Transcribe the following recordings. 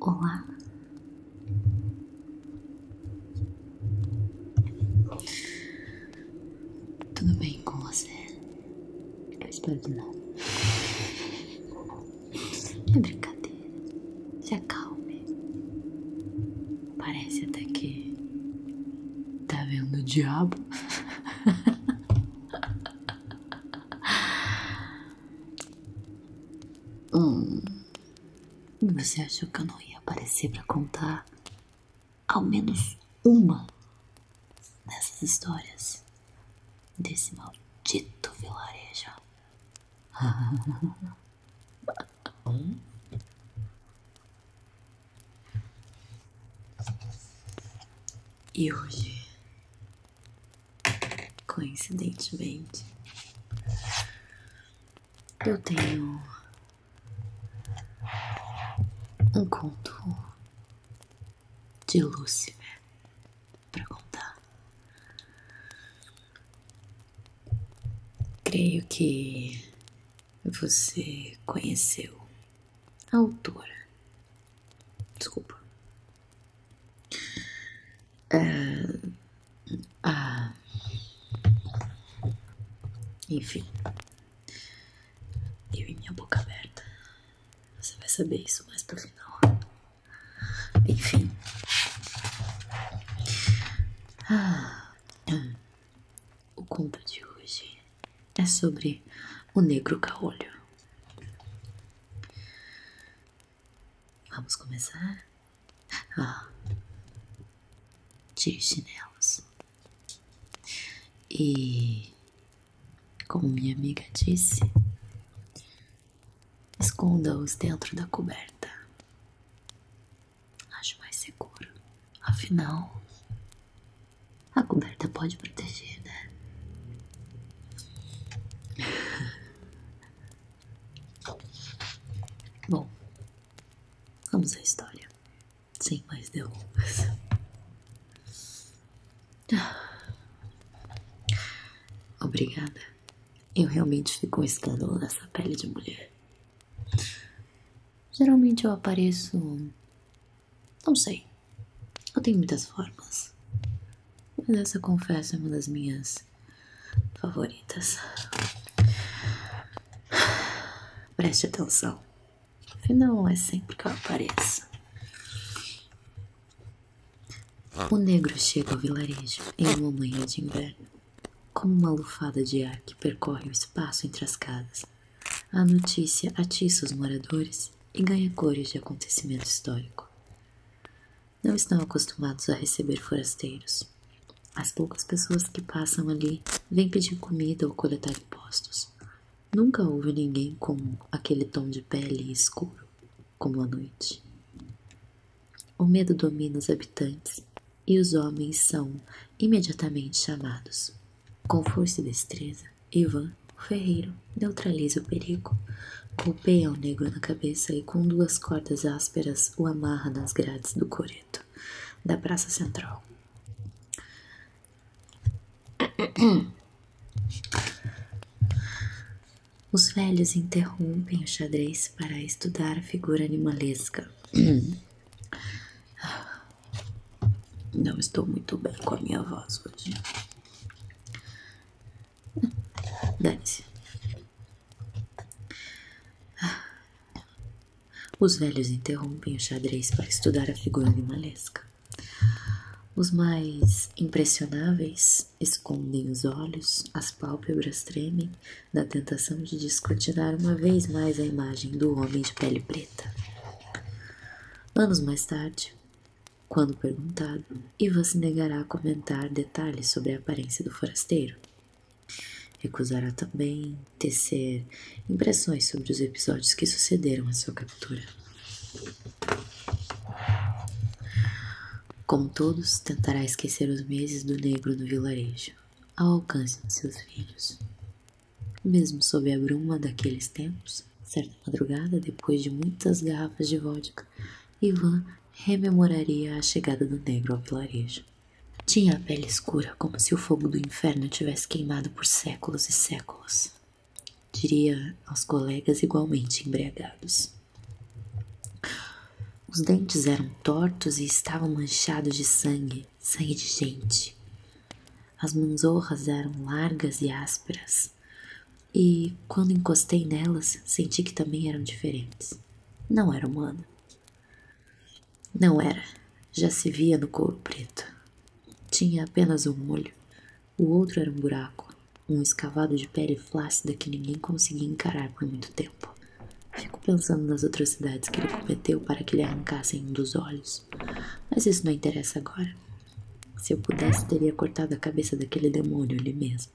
Olá. Tudo bem com você? Eu espero que não. É brincadeira. Se acalme. Parece até que tá vendo o diabo. Hum. Você achou que eu não ia aparecer para contar ao menos uma dessas histórias desse maldito vilarejo? E hoje Coincidentemente, eu tenho um conto de Lúcifer para contar. Creio que você conheceu a autora Desculpa. Uh, ah, enfim. Eu e minha boca aberta. Você vai saber isso mais pro final. Enfim. Ah, o conto de hoje é sobre o negro caolho. Vamos começar? Ah, os chinelos. E, como minha amiga disse, esconda-os dentro da coberta. Acho mais seguro. Afinal, a coberta pode proteger, né? Bom, vamos à história. Sem mais derrubas. Ah. Obrigada. Eu realmente fico um escândalo nessa pele de mulher. Geralmente eu apareço. Não sei. Eu tenho muitas formas. Mas essa confesso é uma das minhas favoritas. Preste atenção. Afinal, é sempre que eu apareço. Ah. O negro chega ao vilarejo em uma manhã de inverno, como uma lufada de ar que percorre o espaço entre as casas. A notícia atiça os moradores e ganha cores de acontecimento histórico não estão acostumados a receber forasteiros. As poucas pessoas que passam ali vêm pedir comida ou coletar impostos. Nunca ouve ninguém com aquele tom de pele escuro como a noite. O medo domina os habitantes e os homens são imediatamente chamados. Com força e destreza, Ivan, o ferreiro, neutraliza o perigo. Golpeia o negro na cabeça e com duas cordas ásperas o amarra nas grades do coreto da praça central. Os velhos interrompem o xadrez para estudar a figura animalesca. Não estou muito bem com a minha voz hoje. Dane-se. Ah. Os velhos interrompem o xadrez para estudar a figura animalesca. Os mais impressionáveis escondem os olhos, as pálpebras tremem da tentação de descortinar uma vez mais a imagem do homem de pele preta. Anos mais tarde, quando perguntado, Ivan se negará a comentar detalhes sobre a aparência do forasteiro. Recusará também tecer impressões sobre os episódios que sucederam a sua captura. Como todos, tentará esquecer os meses do negro no vilarejo, ao alcance de seus filhos. Mesmo sob a bruma daqueles tempos, certa madrugada, depois de muitas garrafas de vodka, Ivan rememoraria a chegada do negro ao vilarejo. Tinha a pele escura como se o fogo do inferno tivesse queimado por séculos e séculos. Diria aos colegas igualmente embriagados. Os dentes eram tortos e estavam manchados de sangue, sangue de gente. As manzorras eram largas e ásperas, e quando encostei nelas, senti que também eram diferentes. Não era humana. Não era. Já se via no couro preto. Tinha apenas um olho. O outro era um buraco, um escavado de pele flácida que ninguém conseguia encarar por muito tempo. Fico pensando nas atrocidades que ele cometeu para que lhe arrancassem um dos olhos. Mas isso não interessa agora. Se eu pudesse, teria cortado a cabeça daquele demônio ali mesmo atrás,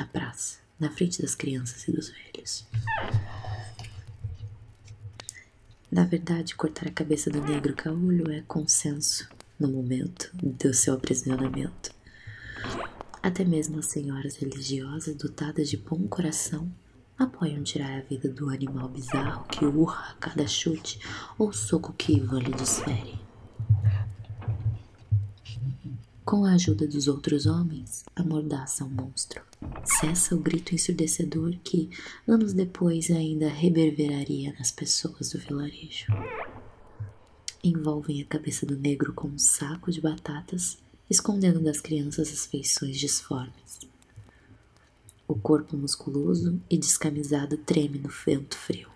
na praça, na frente das crianças e dos velhos. Na verdade, cortar a cabeça do negro caolho é consenso no momento do seu aprisionamento. Até mesmo as senhoras religiosas dotadas de bom coração apoiam tirar a vida do animal bizarro que urra a cada chute ou soco que Ivan lhe desfere. Com a ajuda dos outros homens, amordaça o monstro. Cessa o grito ensurdecedor que, anos depois, ainda reverberaria nas pessoas do vilarejo. Envolvem a cabeça do negro com um saco de batatas, escondendo das crianças as feições disformes. O corpo musculoso e descamisado treme no vento frio.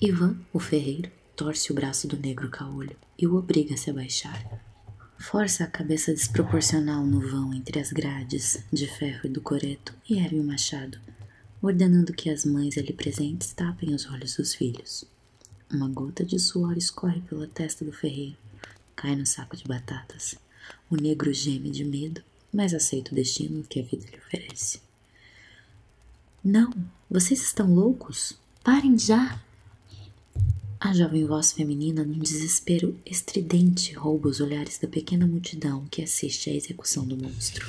Ivan, o ferreiro, torce o braço do negro caolho e o obriga a se abaixar. Força a cabeça desproporcional no vão entre as grades de ferro e do coreto e ergue o machado, ordenando que as mães ali presentes tapem os olhos dos filhos. Uma gota de suor escorre pela testa do ferreiro, cai no saco de batatas. O negro geme de medo, mas aceita o destino que a vida lhe oferece. Não, vocês estão loucos? Parem já! A jovem voz feminina, num desespero estridente, rouba os olhares da pequena multidão que assiste à execução do monstro.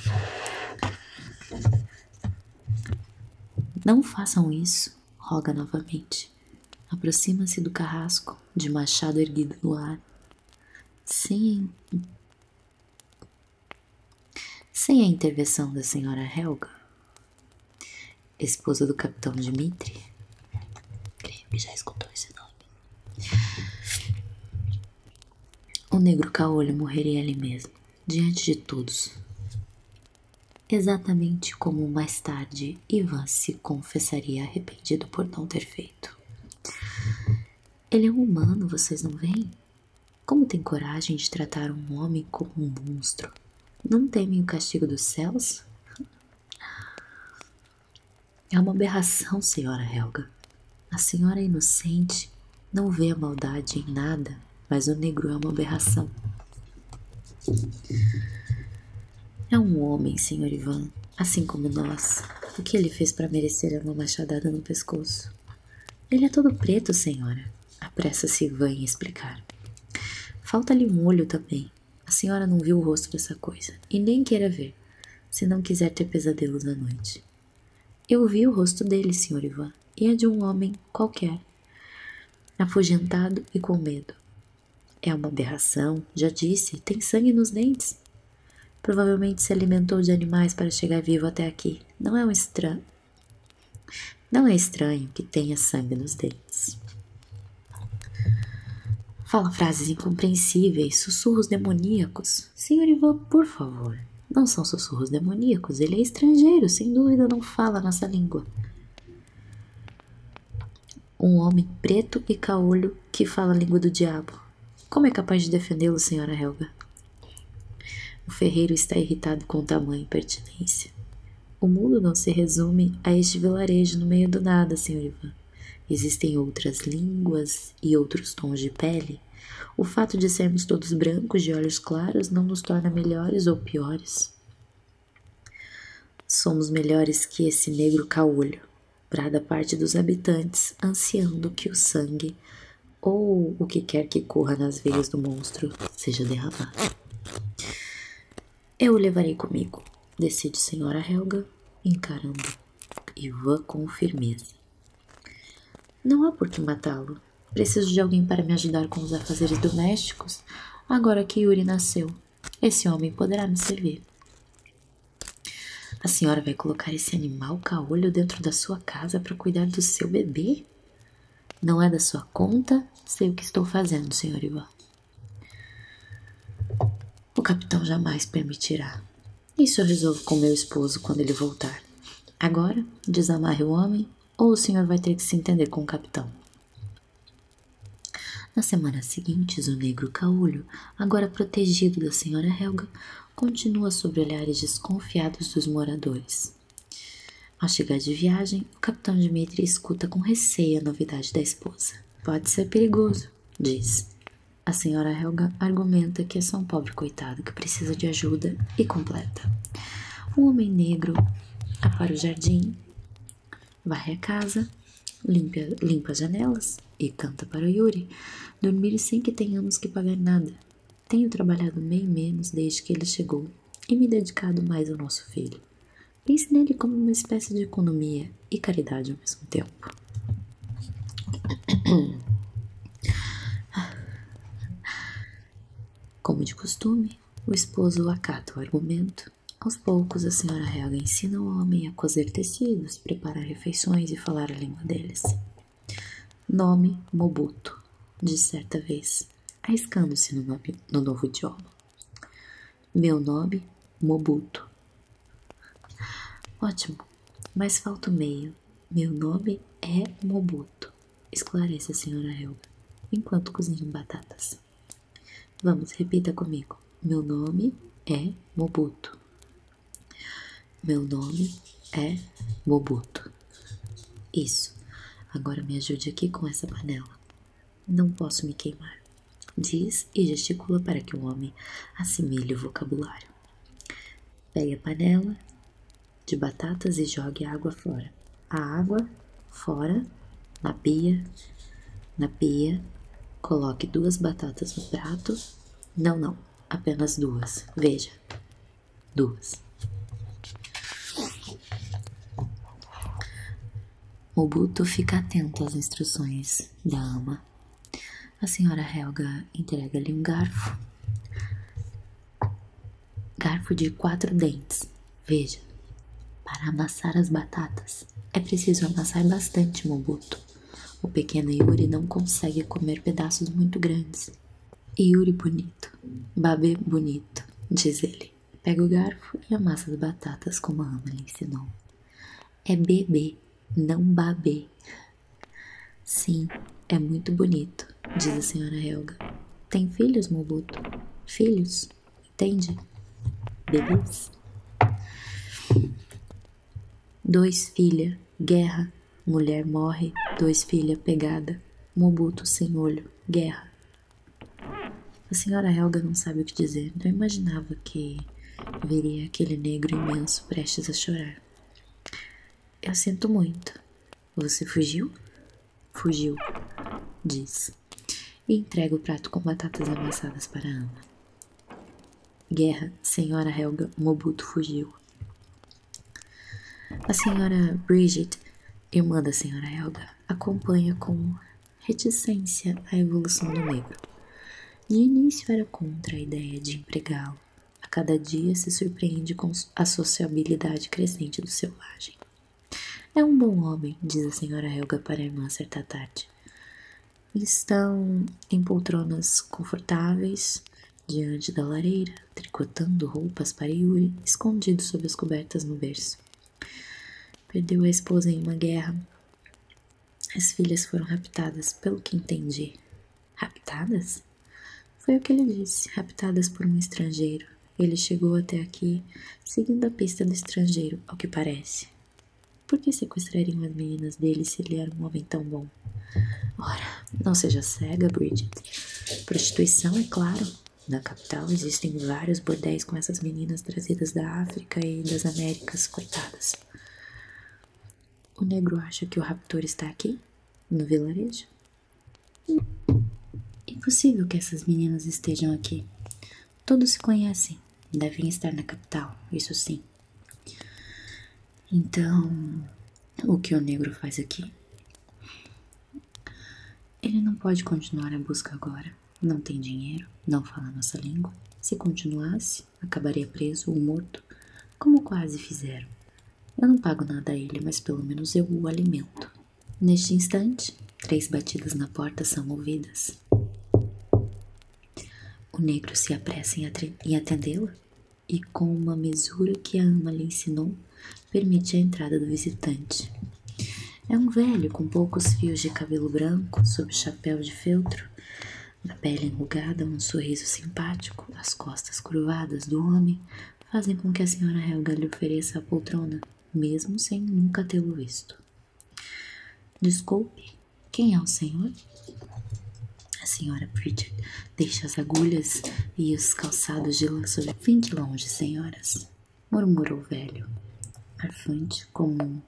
Não façam isso, roga novamente. Aproxima-se do carrasco, de machado erguido no ar. Sim, sem a intervenção da senhora Helga, esposa do capitão Dmitri, o negro caolho morreria ali mesmo, diante de todos. Exatamente como mais tarde Ivan se confessaria arrependido por não ter feito. Ele é um humano, vocês não veem? Como tem coragem de tratar um homem como um monstro? Não temem o castigo dos céus? É uma aberração, senhora Helga. A senhora é inocente, não vê a maldade em nada, mas o negro é uma aberração. É um homem, senhor Ivan, assim como nós. O que ele fez para merecer uma machadada no pescoço? Ele é todo preto, senhora, apressa-se Ivan em explicar. Falta-lhe um olho também. A senhora não viu o rosto dessa coisa, e nem queira ver, se não quiser ter pesadelos à noite. Eu vi o rosto dele, senhor Ivan, e é de um homem qualquer, afugentado e com medo. É uma aberração, já disse, tem sangue nos dentes. Provavelmente se alimentou de animais para chegar vivo até aqui. Não é um, estranho. Não é estranho que tenha sangue nos dentes. Fala frases incompreensíveis, sussurros demoníacos. Senhor Ivan, por favor. Não são sussurros demoníacos, ele é estrangeiro, sem dúvida não fala a nossa língua. Um homem preto e caolho que fala a língua do diabo. Como é capaz de defendê-lo, senhora Helga? O ferreiro está irritado com tamanha impertinência. O mundo não se resume a este vilarejo no meio do nada, senhor Ivan. Existem outras línguas e outros tons de pele. O fato de sermos todos brancos de olhos claros não nos torna melhores ou piores. Somos melhores que esse negro caolho, brada parte dos habitantes, ansiando que o sangue ou o que quer que corra nas veias do monstro seja derramado. Eu o levarei comigo, decide a Senhora Helga, encarando Ivan com firmeza. Não há por que matá-lo. Preciso de alguém para me ajudar com os afazeres domésticos agora que Yuri nasceu. Esse homem poderá me servir. A senhora vai colocar esse animal caolho dentro da sua casa para cuidar do seu bebê? Não é da sua conta, sei o que estou fazendo, senhor Ivan. O capitão jamais permitirá. Isso eu resolvo com meu esposo quando ele voltar. Agora, desamarre o homem, ou o senhor vai ter que se entender com o capitão. Nas semanas seguintes, o negro Caúlio, agora protegido da senhora Helga, continua sob olhares desconfiados dos moradores. Ao chegar de viagem, o capitão Dmitri escuta com receio a novidade da esposa. Pode ser perigoso, diz. A senhora Helga argumenta que é só um pobre coitado que precisa de ajuda e completa. O homem negro apara o jardim, varre a casa, limpa, as janelas e canta para Yuri, dormir sem que tenhamos que pagar nada. Tenho trabalhado bem menos desde que ele chegou e me dedicado mais ao nosso filho. Pense nele como uma espécie de economia e caridade ao mesmo tempo. Como de costume, o esposo acata o argumento. Aos poucos, a senhora Helga ensina o homem a cozer tecidos, preparar refeições e falar a língua deles. Nome Mobuto, disse certa vez, arriscando-se no, novo idioma. Meu nome Mobuto. Ótimo, mas falta o meio. Meu nome é Mobuto, esclarece a senhora Helga, enquanto cozinho batatas. Vamos, repita comigo. Meu nome é Mobuto. Meu nome é Mobuto. Isso. Agora me ajude aqui com essa panela. Não posso me queimar. Diz e gesticula para que o homem assimile o vocabulário. Pegue a panela de batatas e jogue a água fora. A água fora na pia. Na pia, coloque duas batatas no prato. Não, não, apenas duas. Veja, Duas. Mobuto fica atento às instruções da ama. A senhora Helga entrega-lhe um garfo. Garfo de quatro dentes. Veja, para amassar as batatas é preciso amassar bastante, Mobuto. O pequeno Yuri não consegue comer pedaços muito grandes. Yuri bonito, babê bonito, diz ele. Pega o garfo e amassa as batatas como a Ana lhe ensinou. É bebê, não babê. Sim, é muito bonito, diz a senhora Helga. Tem filhos, Mobuto? Filhos, entende? Bebês? Dois filha, guerra, Mulher morre, dois filha pegada, mobuto sem olho, guerra. A senhora Helga não sabe o que dizer, não imaginava que veria aquele negro imenso prestes a chorar. Eu sinto muito. Você fugiu? Fugiu, diz, e entrega o prato com batatas amassadas para Ana. Guerra, senhora Helga, Mobuto fugiu. A senhora Bridget, irmã da senhora Helga, acompanha com reticência a evolução do negro. De início era contra a ideia de empregá-lo. A cada dia se surpreende com a sociabilidade crescente do selvagem. É um bom homem, diz a senhora Helga para a irmã certa tarde. Estão em poltronas confortáveis, diante da lareira, tricotando roupas para Yuri, escondido sob as cobertas no berço. Perdeu a esposa em uma guerra. As filhas foram raptadas, pelo que entendi. Raptadas? Foi o que ele disse, raptadas por um estrangeiro. Ele chegou até aqui, seguindo a pista do estrangeiro, ao que parece. Por que sequestrariam as meninas dele se ele era um homem tão bom? Ora, não seja cega, Bridget. Prostituição, é claro. Na capital existem vários bordéis com essas meninas trazidas da África e das Américas, coitadas. O negro acha que o raptor está aqui, no vilarejo? Impossível que essas meninas estejam aqui. Todos se conhecem. Devem estar na capital, isso sim. Então, o que o negro faz aqui? Ele não pode continuar a busca agora. Não tem dinheiro, não fala nossa língua. Se continuasse, acabaria preso ou morto, como quase fizeram. Eu não pago nada a ele, mas pelo menos eu o alimento. Neste instante, três batidas na porta são ouvidas. O negro se apressa em, em atendê-la e, com uma mesura que a ama lhe ensinou, permite a entrada do visitante. É um velho com poucos fios de cabelo branco, sob chapéu de feltro, na pele enrugada, um sorriso simpático, as costas curvadas do homem fazem com que a senhora Helga lhe ofereça a poltrona, mesmo sem nunca tê-lo visto. Desculpe, quem é o senhor? A senhora Bridget. Deixe as agulhas e os calçados de lanço. Vem de longe, senhoras, murmurou o velho, arfante comum,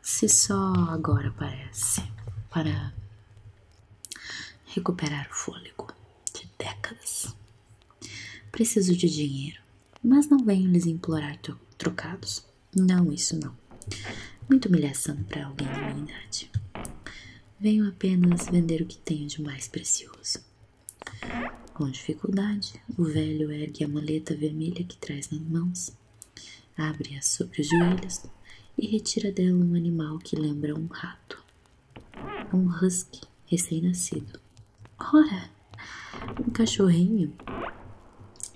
se só agora parece, para recuperar o fôlego de décadas. Preciso de dinheiro, mas não venho lhes implorar trocados. Não, isso não. Muita humilhação para alguém de minha idade. Venho apenas vender o que tenho de mais precioso. Com dificuldade, o velho ergue a maleta vermelha que traz nas mãos, abre-a sobre os joelhos e retira dela um animal que lembra um rato, um husky recém-nascido. Ora, um cachorrinho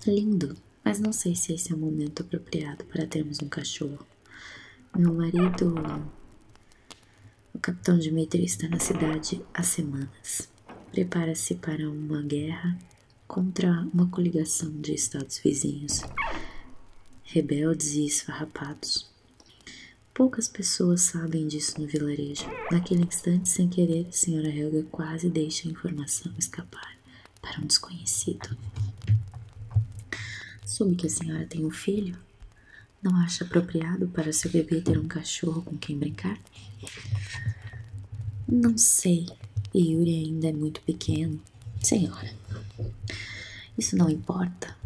lindo, mas não sei se esse é o momento apropriado para termos um cachorro. Meu marido o capitão Dmitri está na cidade há semanas. Prepara-se para uma guerra contra uma coligação de estados vizinhos, rebeldes e esfarrapados. Poucas pessoas sabem disso no vilarejo. Naquele instante, sem querer, a senhora Helga quase deixa a informação escapar para um desconhecido. Soube que a senhora tem um filho? Não acha apropriado para seu bebê ter um cachorro com quem brincar? Não sei. Yuri ainda é muito pequeno. Senhora, isso não importa.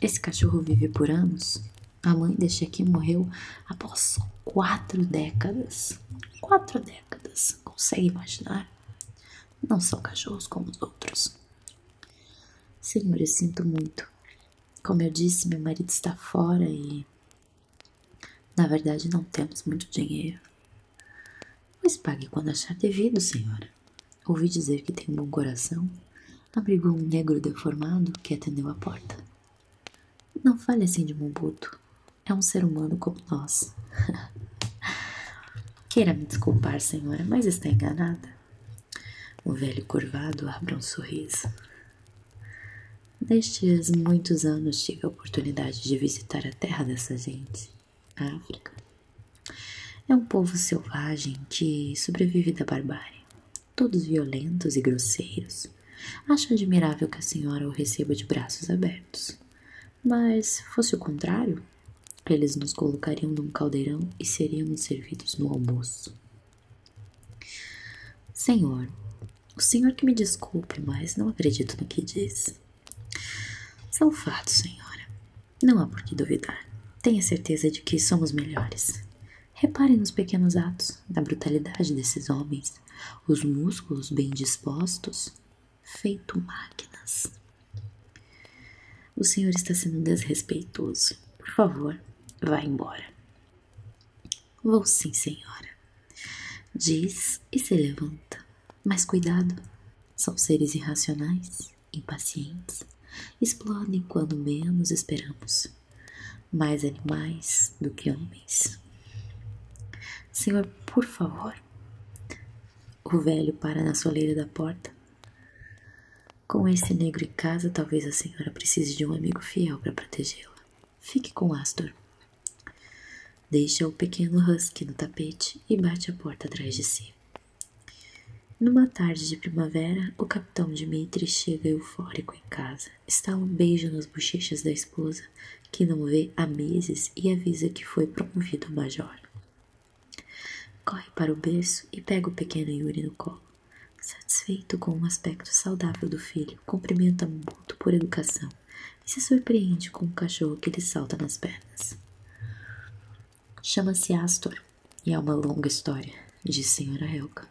Esse cachorro vive por anos. A mãe deste aqui morreu após quatro décadas. Quatro décadas. Consegue imaginar? Não são cachorros como os outros. Senhor, eu sinto muito. Como eu disse, meu marido está fora e na verdade não temos muito dinheiro. Mas pague quando achar devido, senhora. Ouvi dizer que tem um bom coração. Abrigou um negro deformado que atendeu a porta. Não fale assim de Mombuto. É um ser humano como nós. Queira me desculpar, senhora, mas está enganada. O velho curvado abre um sorriso. Nestes muitos anos tive a oportunidade de visitar a terra dessa gente, a África. É um povo selvagem que sobrevive da barbárie, todos violentos e grosseiros. Acho admirável que a senhora o receba de braços abertos. Mas, fosse o contrário, eles nos colocariam num caldeirão e seríamos servidos no almoço. Senhor, o senhor que me desculpe, mas não acredito no que diz. São fatos, senhora. Não há por que duvidar. Tenha certeza de que somos melhores. Repare nos pequenos atos, na brutalidade desses homens, os músculos bem dispostos, feito máquinas. O senhor está sendo desrespeitoso. Por favor, vá embora. Vou sim, senhora. Diz e se levanta. Mas cuidado, são seres irracionais, impacientes, explodem quando menos esperamos. Mais animais do que homens. Senhor, por favor. O velho pára na soleira da porta. Com esse negro em casa, talvez a senhora precise de um amigo fiel para protegê-la. Fique com Astor. Deixa o pequeno husky no tapete e bate a porta atrás de si. Numa tarde de primavera, o capitão Dmitri chega eufórico em casa, estala um beijo nas bochechas da esposa, que não vê há meses, e avisa que foi promovido a major. Corre para o berço e pega o pequeno Yuri no colo. Satisfeito com o aspecto saudável do filho, cumprimenta muito por educação e se surpreende com o cachorro que lhe salta nas pernas. Chama-se Astor e é uma longa história, diz Senhora Helka.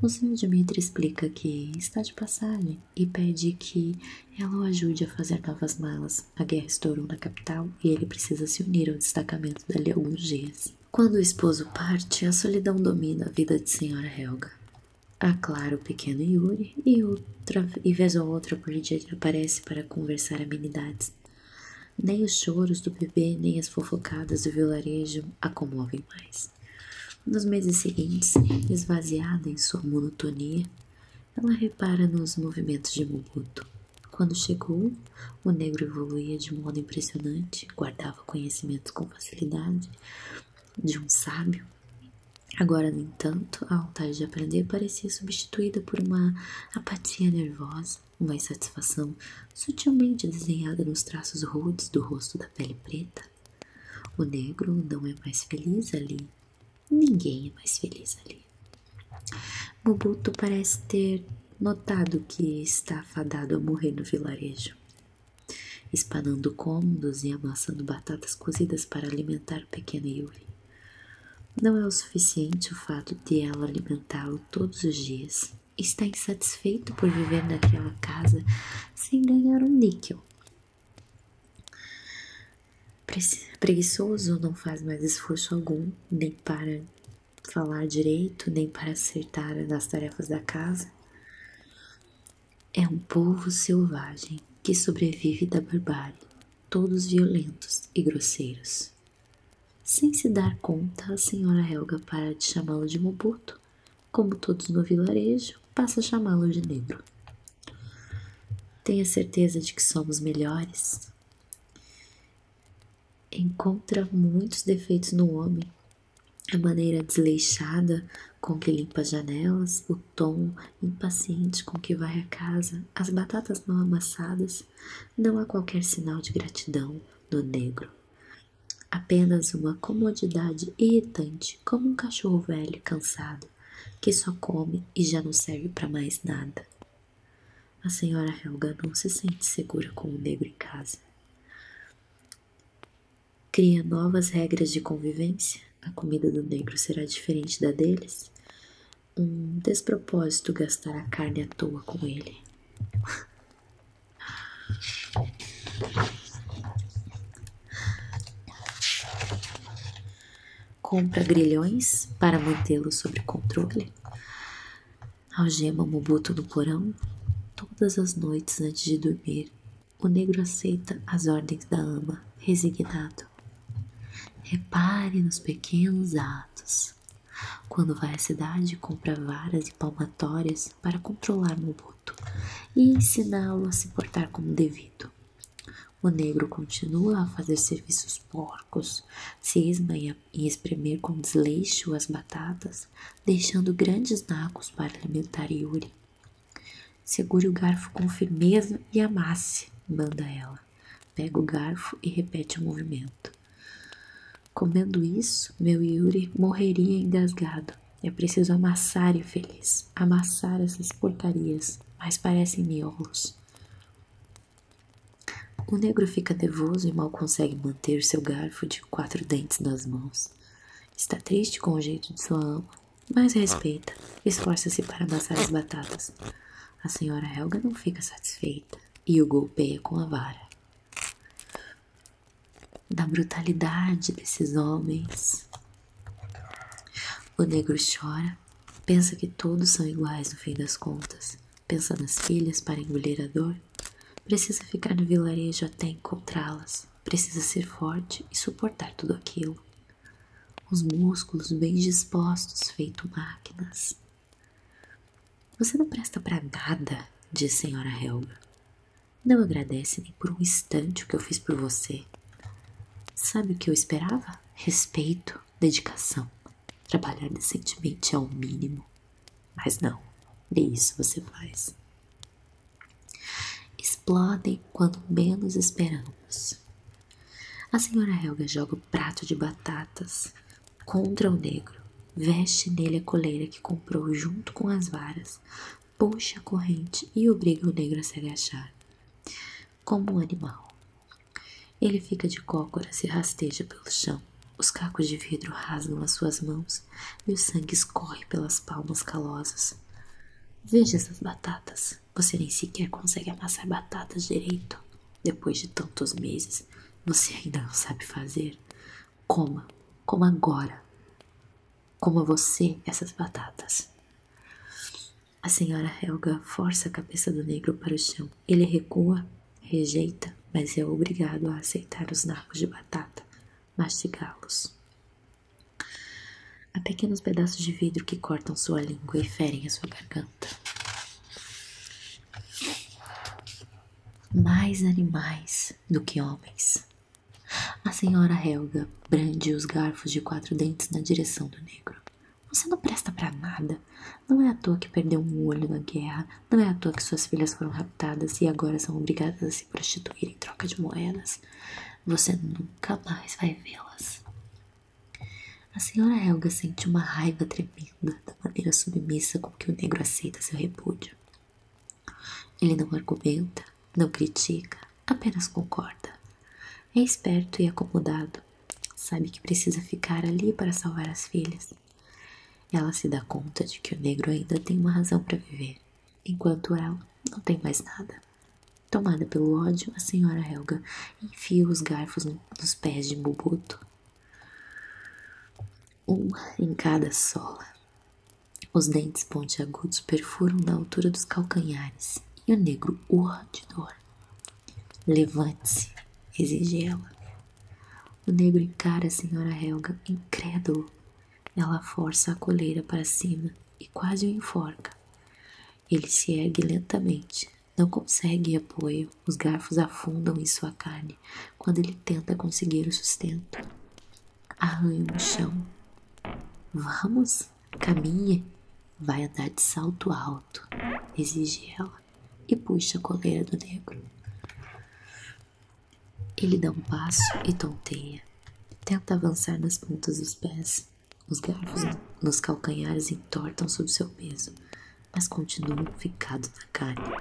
O senhor Dimitri explica que está de passagem e pede que ela o ajude a fazer novas malas. A guerra estourou na capital e ele precisa se unir ao destacamento dali a alguns dias. Quando o esposo parte, a solidão domina a vida de Senhora Helga. Aclara o pequeno Yuri e, outra, e vez ou outra por dia aparece para conversar amenidades. Nem os choros do bebê, nem as fofocadas do vilarejo a comovem mais. Nos meses seguintes, esvaziada em sua monotonia, ela repara nos movimentos de Mobuto. Quando chegou, o negro evoluía de modo impressionante, guardava conhecimentos com facilidade de um sábio. Agora, no entanto, a vontade de aprender parecia substituída por uma apatia nervosa, uma insatisfação sutilmente desenhada nos traços rudes do rosto da pele preta. O negro não é mais feliz ali. Ninguém é mais feliz ali. Mobuto parece ter notado que está fadado a morrer no vilarejo, espanando cômodos e amassando batatas cozidas para alimentar o pequeno Yuri. Não é o suficiente o fato de ela alimentá-lo todos os dias. Está insatisfeito por viver naquela casa sem ganhar um níquel. Preguiçoso não faz mais esforço algum, nem para falar direito, nem para acertar nas tarefas da casa. É um povo selvagem que sobrevive da barbárie, todos violentos e grosseiros. Sem se dar conta, a senhora Helga para de chamá-lo de Mobuto, como todos no vilarejo, passa a chamá-lo de negro. Tenha certeza de que somos melhores? encontra muitos defeitos no homem. A maneira desleixada com que limpa as janelas, o tom impaciente com que vai a casa, as batatas mal amassadas, não há qualquer sinal de gratidão no negro. Apenas uma comodidade irritante, como um cachorro velho cansado, que só come e já não serve para mais nada. A senhora Helga não se sente segura com o negro em casa. Cria novas regras de convivência. A comida do negro será diferente da deles. Um despropósito gastar a carne à toa com ele. Compra grilhões para mantê-lo sob controle algema o Mobuto no porão. Todas as noites antes de dormir, o negro aceita as ordens da ama, resignado. Repare nos pequenos atos. Quando vai à cidade, compra varas e palmatórias para controlar Mobuto e ensiná-lo a se portar como devido. O negro continua a fazer serviços porcos, cisma e e espremer com desleixo as batatas, deixando grandes nacos para alimentar Yuri. Segure o garfo com firmeza e amasse, manda ela. Pega o garfo e repete o movimento. Comendo isso, meu Yuri morreria engasgado. É preciso amassar, infeliz. Amassar essas porcarias, mas parecem miolos. O negro fica nervoso e mal consegue manter seu garfo quatro dentes nas mãos. Está triste com o jeito de sua alma, mas respeita. Esforça-se para amassar as batatas. A senhora Helga não fica satisfeita e o golpeia é com a vara. Da brutalidade desses homens. O negro chora, pensa que todos são iguais no fim das contas. Pensa nas filhas para engolir a dor Precisa ficar no vilarejo até encontrá-las. Precisa ser forte e suportar tudo aquilo. Os músculos bem dispostos, feito máquinas. Você não presta para nada, diz Senhora Helga. Não agradece nem por um instante o que eu fiz por você. Sabe o que eu esperava? Respeito, dedicação. Trabalhar decentemente é o mínimo. Mas não, nem isso você faz. Explodem quando menos esperamos. A senhora Helga joga o prato de batatas contra o negro, veste nele a coleira que comprou junto com as varas, puxa a corrente e obriga o negro a se agachar, como um animal. Ele fica de cócoras e rasteja pelo chão. Os cacos de vidro rasgam as suas mãos e o sangue escorre pelas palmas calosas. Veja essas batatas. Você nem sequer consegue amassar batatas direito. Depois de tantos meses, você ainda não sabe fazer. Coma, coma agora. Coma você essas batatas. A senhora Helga força a cabeça do negro para o chão. Ele recua rejeita, mas é obrigado a aceitar os nacos de batata, mastigá-los. Há pequenos pedaços de vidro que cortam sua língua e ferem a sua garganta. Mais animais do que homens. A senhora Helga brande os garfos de quatro dentes na direção do negro. Você não presta para nada. Não é à toa que perdeu um olho na guerra não é à toa que suas filhas foram raptadas e agora são obrigadas a se prostituir em troca de moedas. Você nunca mais vai vê-las. A senhora Helga sente uma raiva tremenda da maneira submissa com que o negro aceita seu repúdio. Ele não argumenta, não critica, apenas concorda. É esperto e acomodado. Sabe que precisa ficar ali para salvar as filhas. Ela se dá conta de que o negro ainda tem uma razão para viver, enquanto ela não tem mais nada. Tomada pelo ódio, a senhora Helga enfia os garfos nos pés de Bubuto, um em cada sola. Os dentes pontiagudos perfuram da altura dos calcanhares e o negro urra de dor. Levante-se, exige ela. O negro encara a senhora Helga, incrédulo, ela força a coleira para cima e quase o enforca. Ele se ergue lentamente, não consegue apoio, os garfos afundam em sua carne quando ele tenta conseguir o sustento. Arranha no chão. Vamos, caminhe. Vai andar de salto alto, exige ela e puxa a coleira do negro. Ele dá um passo e tonteia. Tenta avançar nas pontas dos pés. Os garfos nos calcanhares entortam sob seu peso, mas continua ficado na carne.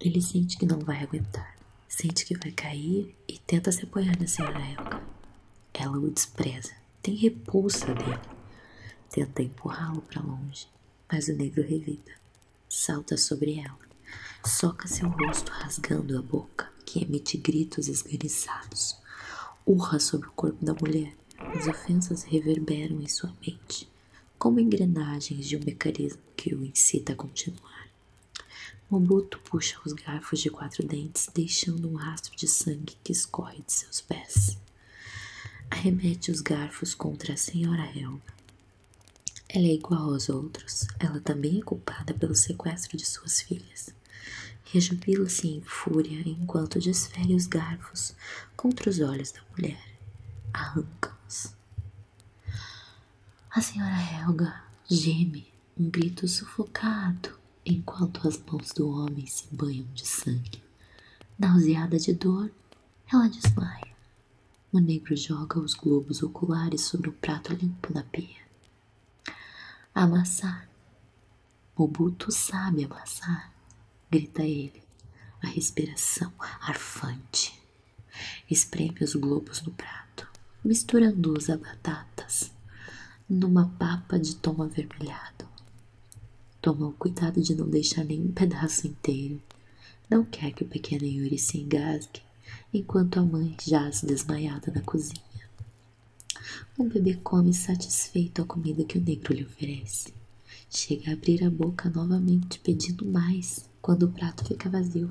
Ele sente que não vai aguentar. Sente que vai cair e tenta se apoiar na senhora Elka. Ela o despreza. Tem repulsa dele. Tenta empurrá-lo para longe, mas o negro revida. Salta sobre ela. Soca seu rosto rasgando a boca, que emite gritos esganiçados. Urra sobre o corpo da mulher. As ofensas reverberam em sua mente, como engrenagens de um mecanismo que o incita a continuar. Mobuto puxa os garfos de quatro dentes, deixando um rastro de sangue que escorre de seus pés. Arremete os garfos contra a senhora Helga, ela é igual aos outros. Ela também é culpada pelo sequestro de suas filhas. Rejubila-se em fúria enquanto desfere os garfos contra os olhos da mulher. Arranca-os. A senhora Helga geme um grito sufocado enquanto as mãos do homem se banham de sangue. Nauseada de dor, ela desmaia o negro joga os globos oculares sobre o prato limpo da pia. Amassar. O Buto sabe amassar, grita ele, a respiração arfante. Espreme os globos no prato, misturando-os a batatas, numa papa de tom avermelhado. Toma o cuidado de não deixar nenhum pedaço inteiro. Não quer que o pequeno Yuri se engasgue enquanto a mãe jaz desmaiada na cozinha. O bebê come satisfeito a comida que o negro lhe oferece. Chega a abrir a boca novamente pedindo mais quando o prato fica vazio.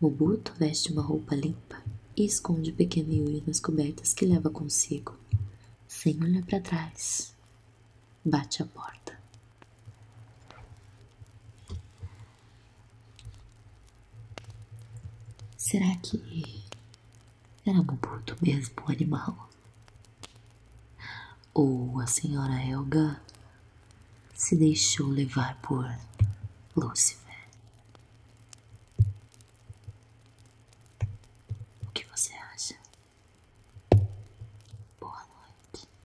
Mobuto veste uma roupa limpa e esconde o pequeno Yuri nas cobertas que leva consigo. Sem olhar para trás, bate a porta. Será que era um Bubuto mesmo um animal? Ou a senhora Helga se deixou levar por Lúcifer? O que você acha? Boa noite.